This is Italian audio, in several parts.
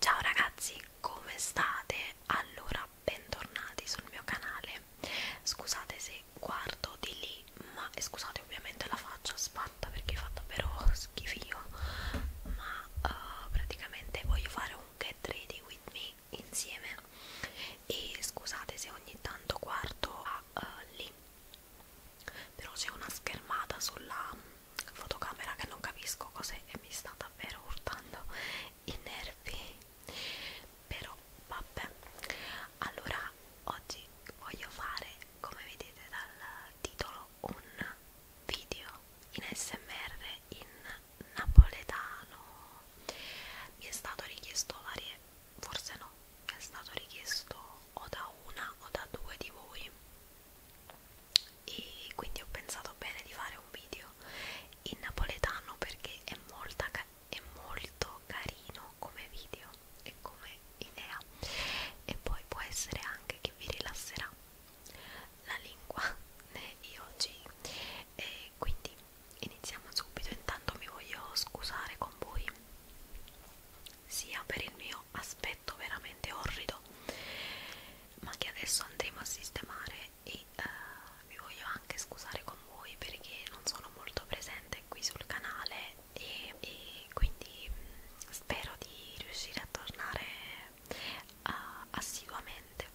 Ciao ragazzi, come state? Allora, bentornati sul mio canale. Scusate se guardo di lì, ma e scusate ovviamente la faccia sfatta perché fa davvero schifio, ma uh, praticamente voglio fare un get ready with me insieme e scusate se ogni tanto guardo a, uh, eh, lì però c'è una schermata sulla fotocamera che non capisco cos'è e mi sta davvero urtando i nervi però vabbè allora oggi voglio fare come vedete dal titolo un video in smr in napoletano mi è stato richiesto varie forse no mi è stato richiesto o da una o da due di voi e quindi ho pensato bene di fare un video in napoletano perché è, molta, è molto carino come video e come idea e poi può essere anche che vi rilasserà la lingua di oggi e quindi iniziamo subito intanto mi voglio scusare con voi sia per il mio aspetto veramente orrido ma che adesso andremo a sistemare e uh, vi voglio anche scusare con voi perché non sono molto presente qui sul canale e, e quindi mh, mm, spero di riuscire a tornare uh, assiduamente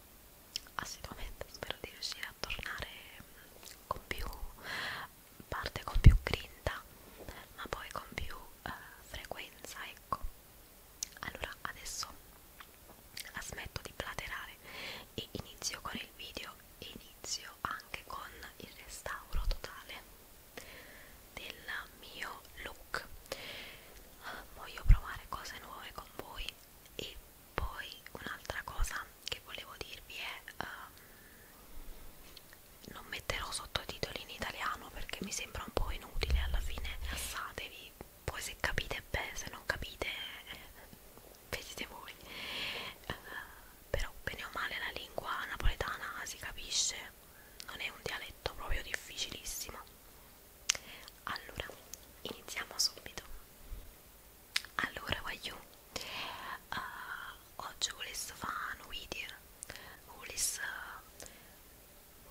assiduamente spero di riuscire a tornare mh, mm, con più parte con più grinta ma poi con più uh, frequenza ecco allora adesso la smetto di platerare e inizio con il video e inizio anche con il restauro totale del mio look voglio provare cose nuove con voi e poi un'altra cosa che volevo dirvi è um, non metterò sottotitoli in italiano perché mi sembra un po' inutile alla fine rilassatevi poi se capite bene, se non capite vedete eh, voi uh, però bene o male la lingua napoletana si capisce non è un dialetto proprio difficilissimo allora iniziamo subito allora voglio uh, oggi volessi fare un video volessi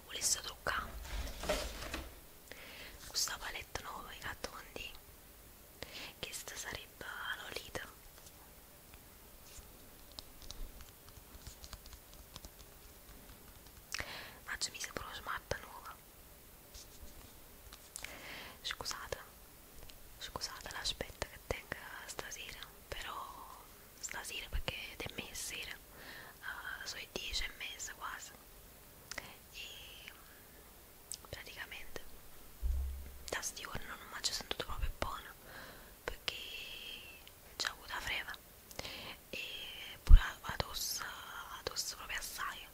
volesse truccare questa palette nuova che ha tondi questa sarebbe la Lolita ma ci mise pure smart nuova scusate scusate l'aspetto che tengo stasera però stasera perché è messera uh, eh, sono 10 e mezza quasi e mm, praticamente da sti giorni non mi ci sentito proprio buona perché c'è avuto la freva e pure la tosse proprio assai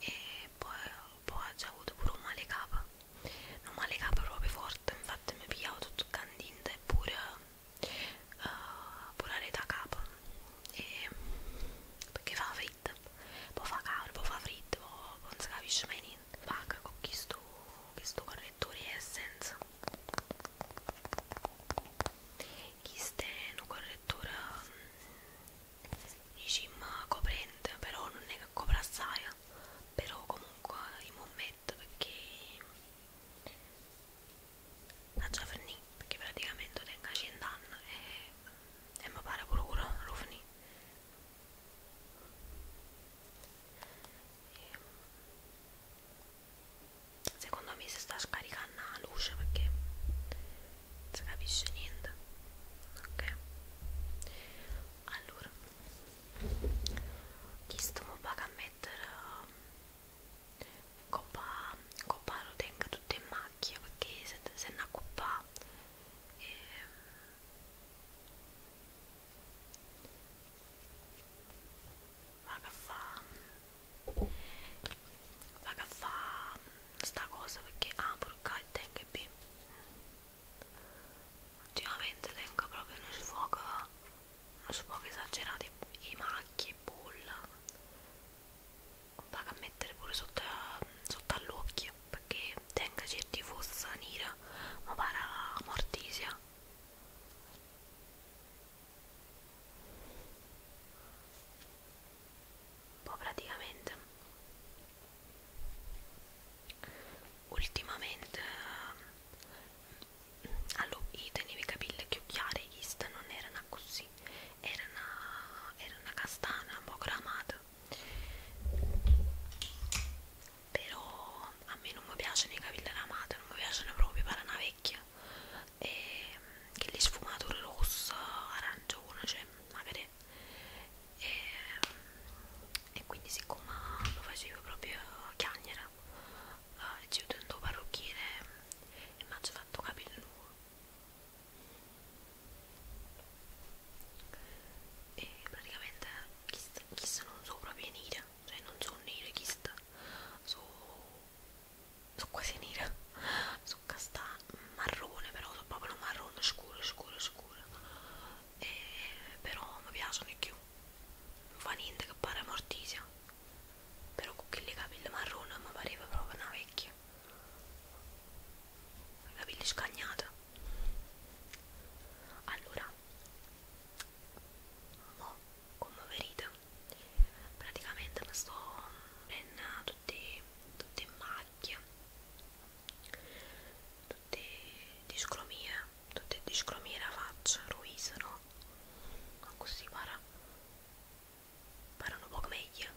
e poi, poi ho già avuto pure un male capa un male capa proprio forte infatti mi pigliavo tutto candente e pure uh, volare da capo e perché fa fritt può fa caldo, può fa fritt può, non si capisce mai niente paga con questo, questo correttore Essence questo è un correttore diciamo coprente però non è che copre assai eh. però comunque in un momento perché a Giovanni perché praticamente tenga 100 anni e, e mi pare pure Rufni secondo me si sta scaricando la luce perché non si capisce niente ok allora chi sto a mettere um, coppa, coppa lo tenga tutto in macchia perché se, se è una coppa eh, va a fa va a fa sta cosa perché ah porca il tenga B ultimamente tengo proprio uno sfogo su poco esagerate i macchie, bolla vado a mettere pure sotto, sotto all'occhio perché tenga certi fossa nera ma para mortisia un po' praticamente ultimamente allora io tenevo i capelli chiari questa non erano così era una, era una castana un po' gramata però a me non mi piacciono i capelli ramati non mi piacciono proprio per una vecchia e che le sfumature rossa arancione cioè magari e, e quindi siccome lo facevo proprio chiagnera 지우든 노바로끼에 맞춰서 동갑이는 후 e praticamente Kiss, Kiss non so proprio nera cioè non so nera Kiss so, so quasi nera so casta marrone però so proprio marrone scuro scuro scuro e, però mi piacciono di più non fa niente che pare mortisia però con le capelli marrone mi pareva proprio una vecchia capelli scagnata allora mo come vedete praticamente mi sto prendendo tutte, tutte macchie tutte discromie tutte discromie la faccia ruisano ma così guarda parlano poco meglio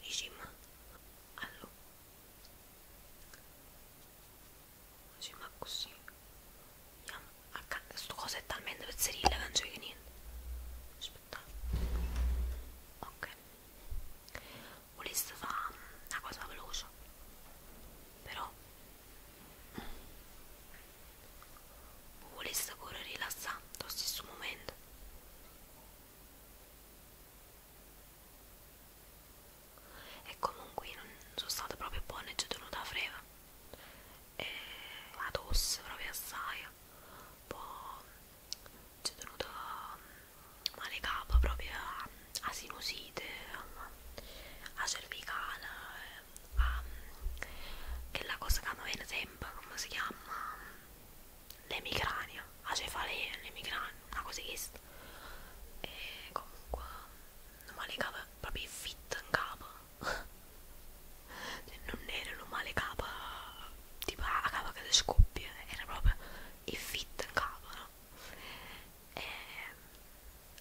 diciamo allora diciamo così andiamo a questo cosa è talmente pezzerile che non c'è che niente aspetta ok voleste fare una cosa veloce però vuole il sapore rilassante allo stesso momento e comunque non sono state proprio buone ci sono da freva e la tosse proprio assai poi ci sono da male capo proprio a sinusite a cervicale um, che la cosa che a me viene sempre, come si chiama? L'emicrania, la cefalea, l'emicrania, una cosa che sta. E comunque, non male capa proprio fit in capo. cioè, non era un male capa, tipo la capa che si scoppia, era proprio il fit in capo, no? E,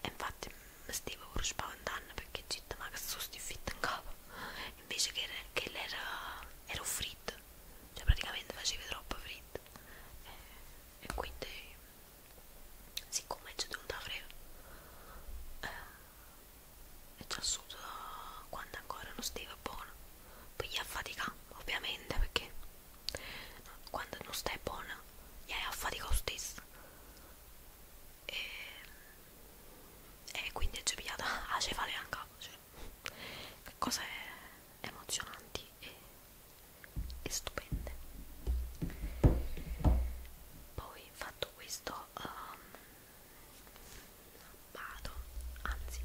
e infatti stava pure spaventando perché città ma che sono stiffitta in capo invece che, che era, era fritto cioè praticamente faceva troppo fritto e, eh, e quindi siccome c'è tutta frega eh, è già assunto quando ancora non stava buono poi gli affatica ovviamente perché quando non stai buona gli affatica lo stesso e e quindi è già pigliata a cefale anche cioè, cose emozionanti e, e stupende poi fatto questo um, vado anzi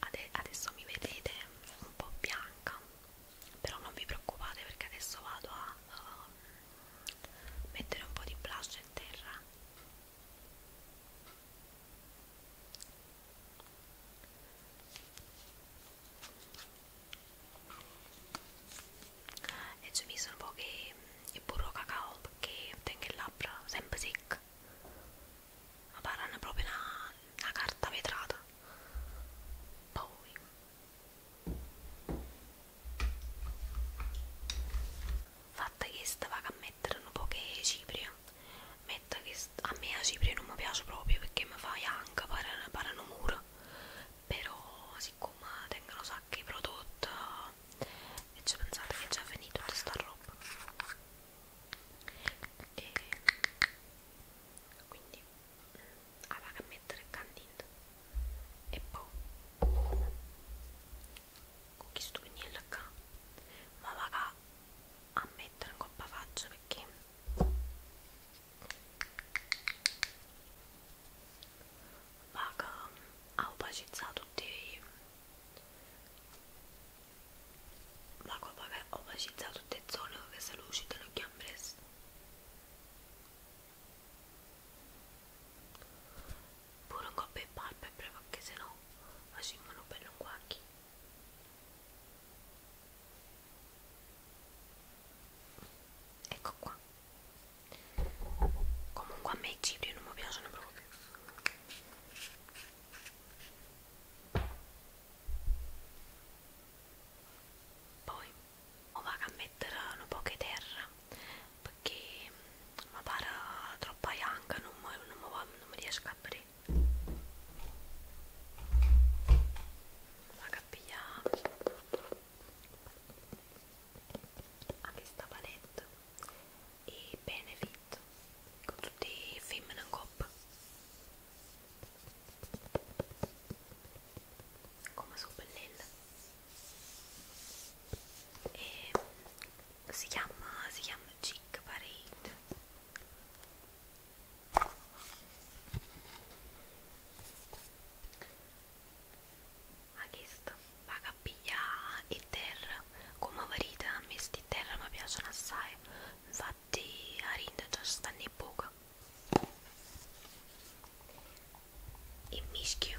ade adesso mi vedete un po' bianca però non vi preoccupate perché adesso vado a um, mettere un po' di blush in terra e ci ho messo un po' che il burro cacao perché tengo il labbra sempre secco ma parlano proprio una, una carta vetrata poi fatta questa vado a mettere un po' che cipria metto che a me la cipria non mi piace proprio perché mi fai anche per un muro però siccome tengono sacchi prodotti e ci pensate che è già finita tutta sta roba e quindi ah, vado a mettere il candito e poi boh. con questo pennello qua ma vado a mettere in coppa faccia perché vado a opacizzare tutti i vado a opacizzare tutte le zone dove si lucidano gli ambressi pure un colpo di palpebre perché se no facciamo bello un guacchi ecco qua comunque a me i cipri non mi piacciono proprio poi o vado a mettere un po' di terra perché mi pare troppa ianca, non, non, non mi riesco a aprire. La cappiglia anche sta palette e benefit con tutti i film in coppa come sono bellelle e si chiama si chiama Chick Parade ha chiesto paga piglia e terra come varita a me sti terra mi piacciono assai infatti a rinda già stanno poco e mischio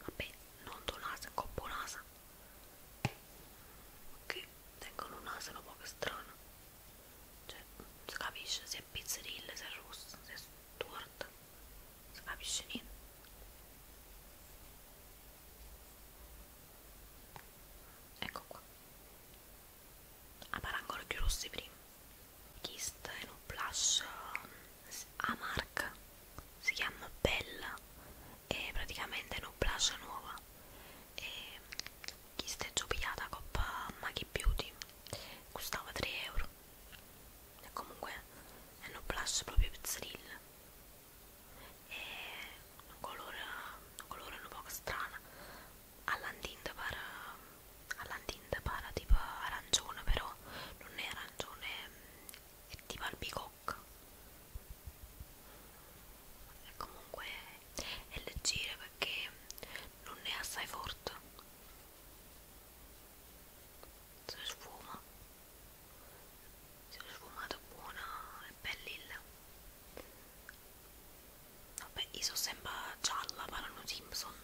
vabbè non donasa copponasa che tengono un asino un po' strano cioè non si capisce se è pizzerilla se è rossa se è storta non si capisce niente ecco qua a parangolo più rossi prima chista in un blush um, a marca si chiama Bella e praticamente è una blush nuova e chista è giopiata coppa Maggie Beauty costava 3 euro e comunque è un blush proprio pizzeril e un colore un colore un po' strano all'antinta per um, alla tindapara tipo arancione però non è arancione è tipo albicocca e comunque è leggera perché non è assai forte si sfuma si è sfumato buona e bellilla vabbè io sono sempre gialla per Simpson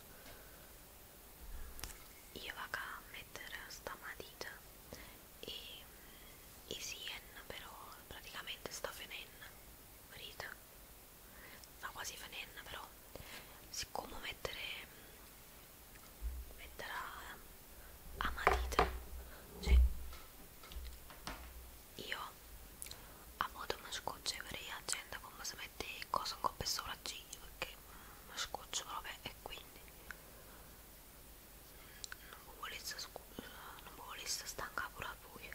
io vado a mettere sta matita e, e sien però praticamente sta fenen morita sta quasi fenen però siccome mettere mettere a, a matita cioè io a modo mi scocce per accendere come si mette cosa con per sopraccigli perché mi scoccio proprio e quindi non mi volesse scusa, non mi volesse stancare pure a voi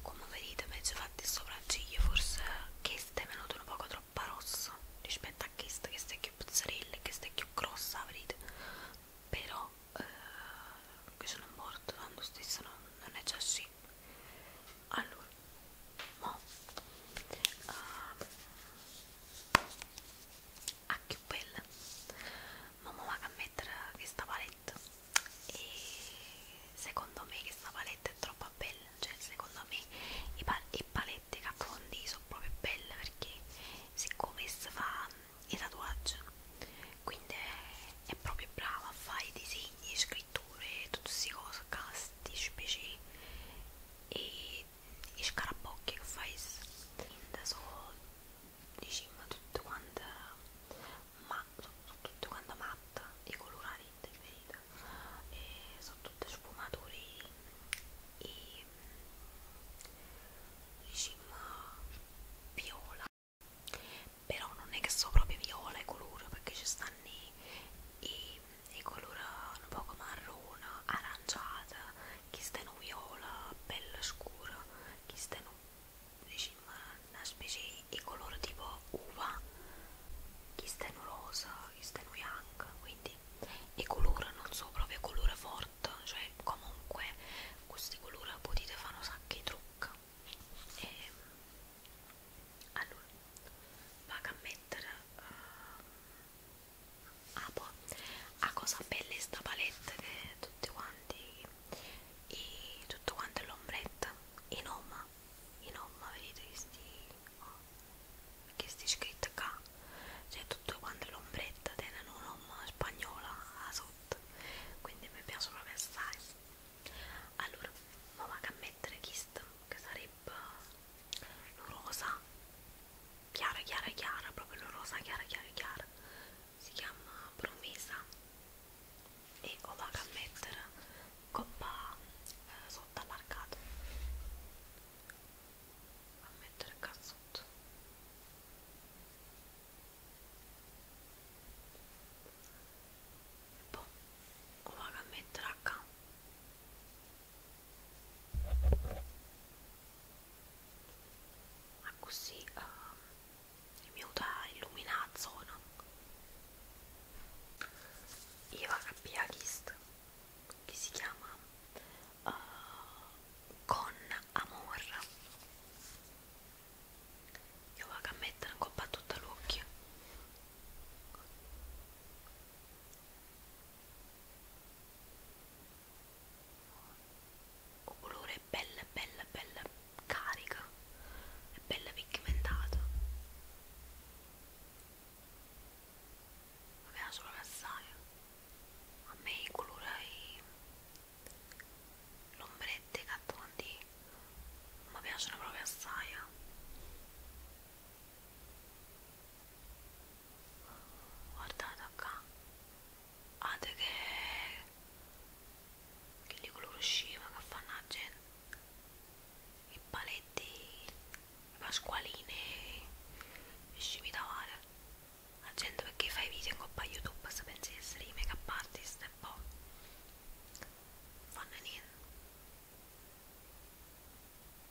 come vedete mi sono fatti il sopracciglio forse questo è venuto un poco troppo rosso rispetto a questo, questo è più pizzerella, questo è più grossa vedete però eh, che sono morto tanto stesso non, non è già sì allora mo uh, a più bella ma mo vado a mettere questa palette e secondo me questa palette è troppo bella cioè secondo me i, pal i paletti che affondi sono proprio belle perché siccome si fa i tatuaggi quindi è proprio brava a fare i disegni pitture, tutte queste cose, casti, specie e, e scarabocchi che fai quindi sono diciamo tutte quante ma sono, sono tutte quante matte i colorati preferiti e sono tutte sfumature e diciamo viola però non è che so proprio viola e colore perché ci stanno i di colore un poco marrone, aranciata, chi sta in viola, bella scura, chi sta in diciamo, una specie di colore tipo uva, chi sta in rosa, chi sta in bianca, quindi i colori non so proprio colore forte, cioè comunque questi colori potete fare un sacco di trucchi e ehm, allora vado a mettere uh, ah, boh. a cosa bella è sta palette che tutti quanti e tutto quanto è l'ombretta in omma in omma vedete che sti oh, che sti scritto qua cioè tutto quanto è l'ombretta tenen un'omma spagnola sotto quindi mi piace proprio assai allora ma vado a mettere questo che sarebbe l'orosa chiara chiara chiara proprio l'orosa chiara chiara chiara si chiama promesa e ho vado a mettere coppa eh, sotto allargato a mettere il cazzotto e boh, poi ho vado a mettere a ma ah, così uh, ehm, mi aiuta a illuminare la zona io abbia visto che si chiama uh, con amor io vado a mettere un coppa a tutto l'occhio o colore bella bella bella carica e bella pigmentato mi piace solo l'assaio a me i colori l'ombrette cattondi mi piacciono proprio assai guardate qua guardate ah, che che li colore usciva che fanno la gente i paletti le pasqualine e scimi da mare la gente perché fai video in coppa youtube se pensi di essere i make-up artist e poi fanno niente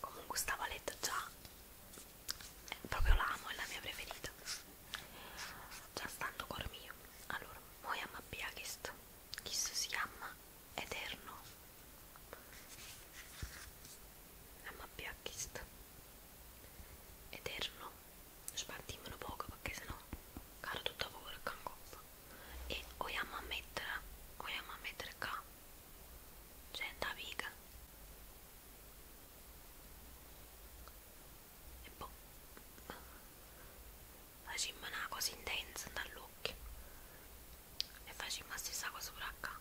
comunque stavo a letto già proprio l'amo è la mia preferita già stando col mio allora moi am abbiachist chis si chiama eterno am abbiachist eterno spartimelo poco perché sennò caro tutta paura e cango e vogliamo ammettere vogliamo ammettere che c'è naviga. E poi boh. facciamo una cosa intensa dall'occhio e facciamo la stessa cosa pure qua.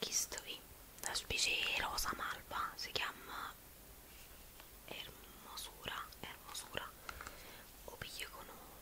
Questo qui, la specie rosa malva, si chiama Ermosura, Ermosura, o piglio con un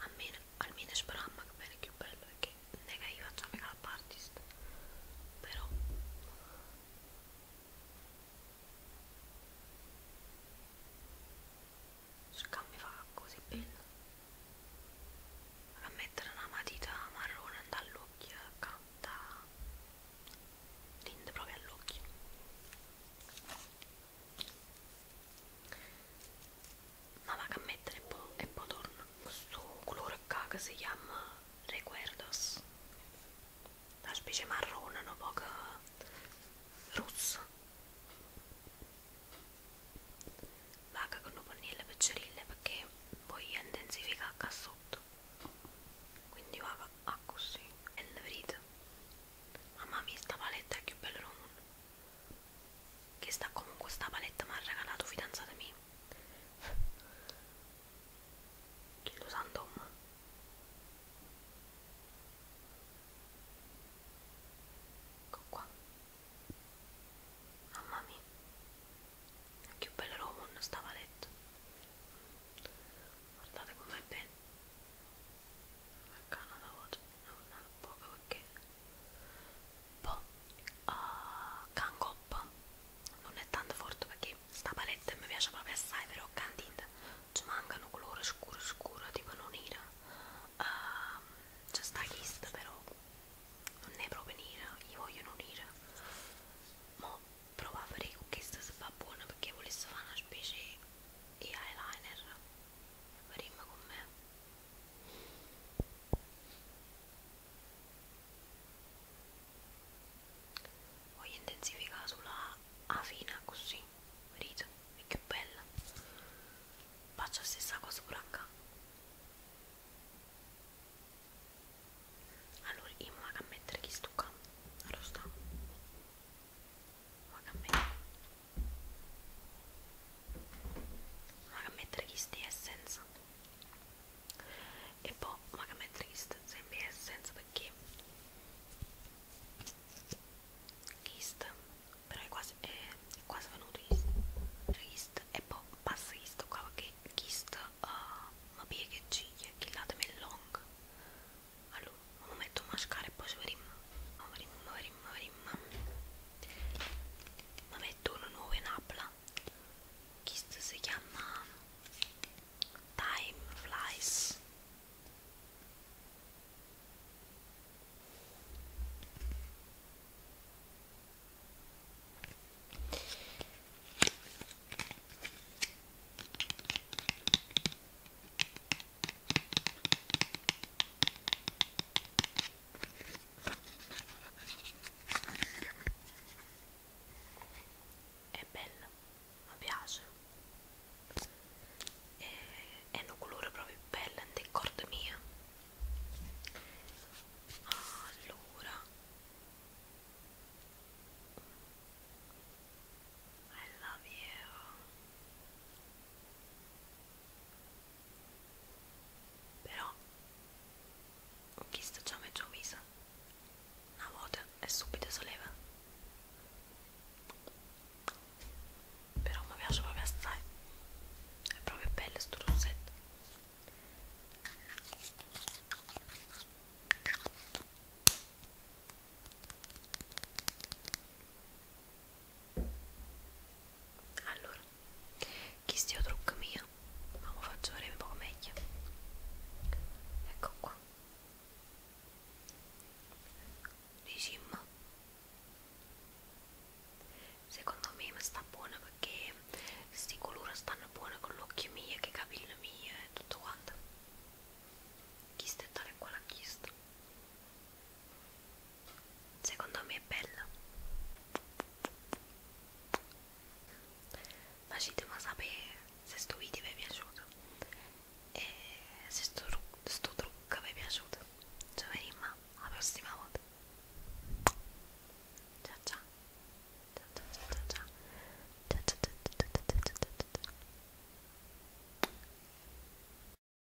almeno, almeno speramma che bene più bello perché nega io faccio mica la partista però scambio fa così bello a mettere una matita marrone dall'occhio da tinte proprio all'occhio ma va a mettere un po' e poi torna questo colore qua che si chiama Recuerdos la specie marrone un po' rossa vaga con un po' le peccerille perché poi intensifica qua sotto quindi vaga a ah, così e le vedete mamma mia sta paletta è più bella del mondo che sta comunque sta paletta mi ha regalato fidanzata mia lo santo ecco qua mamma mia che bello romo non sta paletta guardate com'è bene i can't another word, no, not Boga perché Po, uh, ah, Cangoppa non è tanto forte perché sta palette mi piace proprio assai però candida ci mancano colore scuro scuro tipo non era ehm, uh, c'è sta chista però non è proprio nera, io voglio non nera ma provo a fare che questa si fa buona perché volesse fare una specie di eyeliner rima con me voglio intensificare sulla A fine così rito è più bella faccio la stessa cosa pure acá allora io mi vado a mettere chi sto qua allora sta mi vado a mettere Mag Matrix di Essence e poi Mag Matrix sempre Essence perché Kist però è quasi, è, è quasi venuto Kist e poi passa Kist qua perché Kist uh, eh, ma piega e ciglia che l'atame è long allora metto mascara e poi sovrim, sovrim, sovrim, sovrim. Ma metto una nuova in appla. Questo si chiama Time Flies è bello mi piace e, è un colore proprio bello del corda mia allora I love you però chi sta già mezzo una volta e subito si leva. Però mi piace proprio assai. È proprio bello sto rossetto. Allora, chi stia trucco mio, ma lo faccio vedere un po' meglio. Ecco qua. Diciamo, secondo me mi sta buona perché questi colori stanno buoni con l'occhio mio, che eh, capello mio e tutto quanto. Chi sta tale qua l'ha chiesto secondo me è bella facetemi sapere se sto video vi è piaciuto e se sto, sto trucco vi è piaciuto ci vediamo alla prossima volta ciao ciao ciao ciao ciao ciao ciao ciao ciao ciao ciao ciao ciao ciao ciao